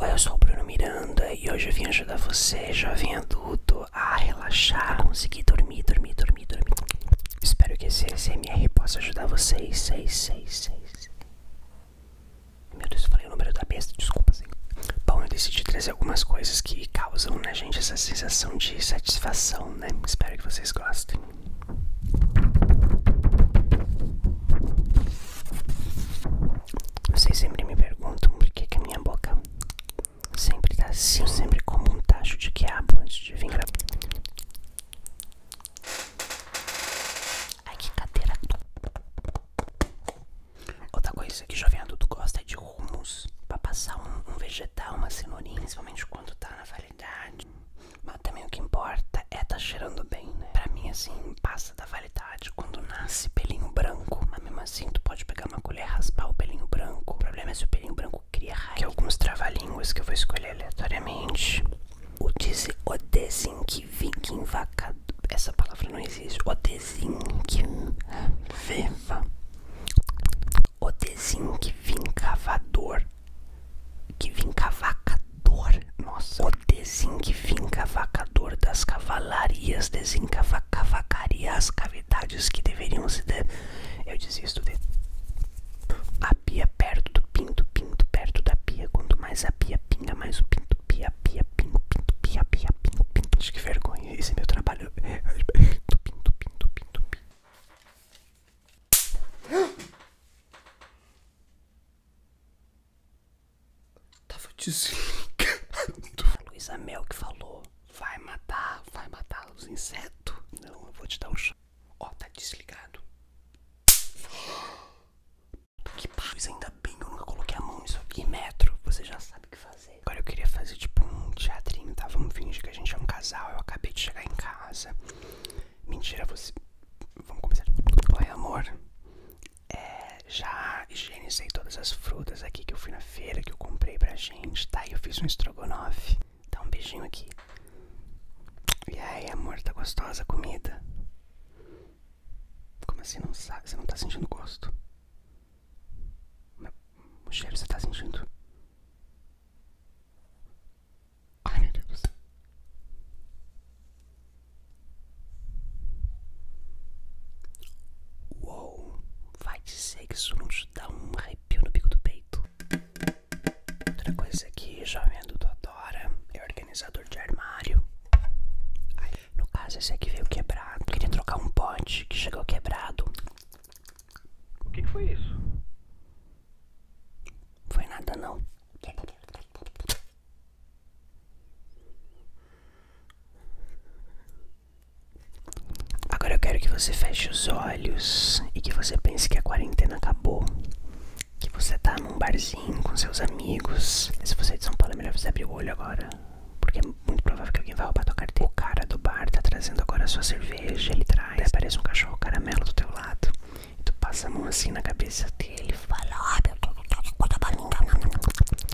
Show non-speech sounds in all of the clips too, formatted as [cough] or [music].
Oi, eu sou o Bruno Miranda e hoje eu vim ajudar você, jovem adulto, a relaxar, conseguir dormir, dormir, dormir, dormir. Espero que esse SMR possa ajudar vocês. 666. Meu Deus, eu falei o número da besta, desculpa, senhor. Bom, eu decidi trazer algumas coisas que causam na gente essa sensação de satisfação, né? Espero que vocês gostem. Vocês sempre me perguntam por que, que a minha boca sempre tá assim, sempre com um tacho de quiabo antes de vir gravar. Ai que cadeira. Outra coisa que jovem adulto gosta é de rumos pra passar um, vegetal, uma cenourinha, principalmente quando tá na validade. Mas também o que importa é tá cheirando bem, né? Pra mim, assim, passa da validade quando nasce pelinho branco. Mas mesmo assim, tu pode pegar uma colher e raspar o pelinho branco. O problema é se o pelinho branco cria raiva. Que alguns trava que eu vou escolher aleatoriamente. O desenho que dizer o desinquivacado. Essa palavra não existe. O desenho que desinquiviva. O desenho Que cavador, que cavaca. Vacador. Nossa. O desencavacador das cavalarias. Desencavacaria as cavidades que deveriam se. De... Eu desisto de. A pia perto do pinto, pinto perto da pia. Quanto mais a pia pinga, mais o pinto pia, pia, pingo, pinto, pia, pia, pingo, pinto. Acho que vergonha. Esse é meu trabalho. Pinto, pinto, pinto, pinto, pinto. Tava desligado. A Luísa Mel que falou: vai matar, vai matar os insetos. Não, eu vou te dar o chá. Ó, tá desligado. Que paz, ainda bem eu nunca coloquei a mão nisso aqui. Metro, você já sabe o que fazer. Agora eu queria fazer tipo um teatrinho, tá? Vamos fingir que a gente é um casal. Eu acabei de chegar em casa. Mentira, você. Vamos começar. Olha amor. É, já higienizei todas as frutas aqui que eu fui na feira, que eu comprei pra gente, tá? E eu fiz um estrogonofe. Dá um beijinho aqui. E aí, amor, tá gostosa comida? Como assim não sabe? Você não tá sentindo gosto? O cheiro você tá sentindo? Ai, meu Deus. Uou, vai dizer que isso não te dá um arrepio no bico do peito. Outra coisa aqui, jovem adulto adora é organizador de armário. no caso, esse aqui veio quebrado. Queria trocar um pote que chegou quebrado. O que, que foi isso? Foi nada, não. Agora eu quero que você feche os olhos e que você pense que a quarentena acabou. Que você tá num barzinho com seus amigos. Se você é de São Paulo, é melhor você abrir o olho agora. Porque é muito provável que alguém vá roubar tua carteira. O cara do bar tá trazendo agora a sua cerveja, ele traz. Daí aparece um cachorro caramelo do teu lado. E tu passa a mão assim na cabeça dele e fala: ó ah, meu Olha, tá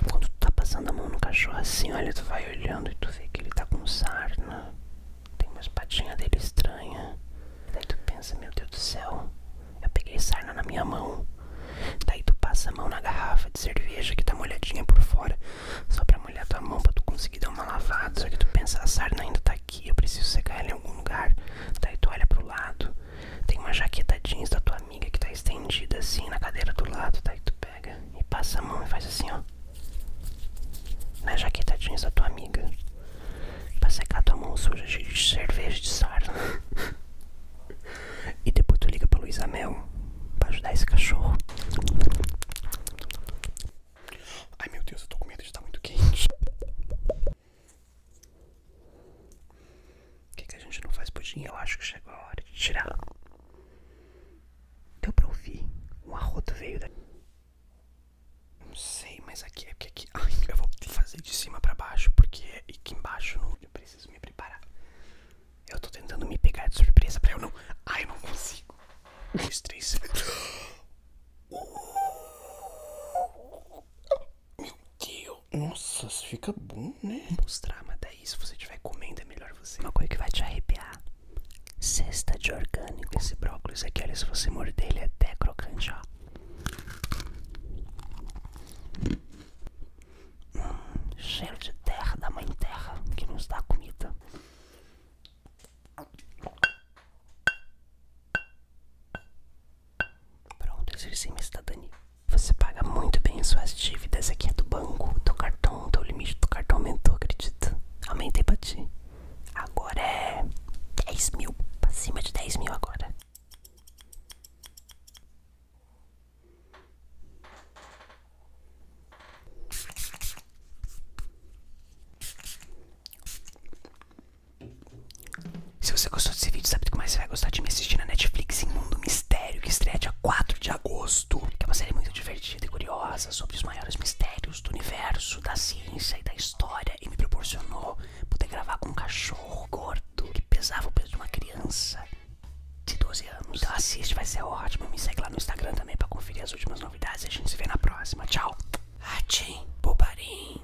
quando tu tá passando a mão no cachorro assim, olha, tu vai olhando e tu vê que ele tá com sarna. Tem umas patinhas dele estranha. Daí tu pensa: Meu Deus do céu, eu peguei sarna na minha mão. Daí tu passa a mão na garrafa de cerveja que tá molhadinha por fora, só pra molhar tua mão pra tu conseguir dar uma lavada. Só que tu pensa, a sarna ainda tá aqui, eu preciso secar ela em algum lugar. Daí tu olha pro lado, tem uma jaqueta jeans da tua amiga que tá estendida assim na cadeira do lado, tá? E tu pega e passa a mão e faz assim, ó. Na jaqueta jeans da tua amiga. Pra secar tua mão suja de cerveja de sarna. [laughs] e depois tu liga pra Luísa Amel pra ajudar esse cachorro. Ai meu Deus, eu tô com medo de estar tá muito quente. O é que, a gente não faz pudim? Eu acho que chegou a hora de tirar. Deu pra ouvir? Um arroto veio daqui. Não sei, mas aqui é porque aqui. Ai, eu vou fazer de cima pra baixo, porque é aqui embaixo Eu preciso me preparar. Eu tô tentando me pegar de surpresa pra eu não. Ai, eu não consigo. Um, dois, três. [gasps] Uh! Meu Deus. Nossa, fica bom, né? Vou mostrar, mas daí se você estiver comendo é melhor você. Uma coisa que vai te arrepiar. Cesta de orgânico. Esse brócolis aqui, olha, se você morder ele é até crocante, ó. Hum, cheiro de terra, da mãe terra, que nos dá comida. Pronto, exerci minha cidadania. Você paga muito bem suas dívidas. Aqui é do banco, do cartão, do limite do cartão aumentou, acredito. Aumentei pra ti. Agora é 10 mil. Pra cima de 10 mil agora. Se você gostou desse vídeo, sabe do que mais você vai gostar de me assistir na Netflix em Mundo Mistério, que estreia dia 4 de agosto. Que é uma série muito divertida e curiosa sobre os maiores mistérios do universo, da ciência e da história. E me proporcionou poder gravar com um cachorro gordo que pesava o peso de uma criança de 12 anos. Então assiste, vai ser ótimo. Me segue lá no Instagram também pra conferir as últimas novidades. a gente se vê na próxima. Tchau. Atim, bobarim.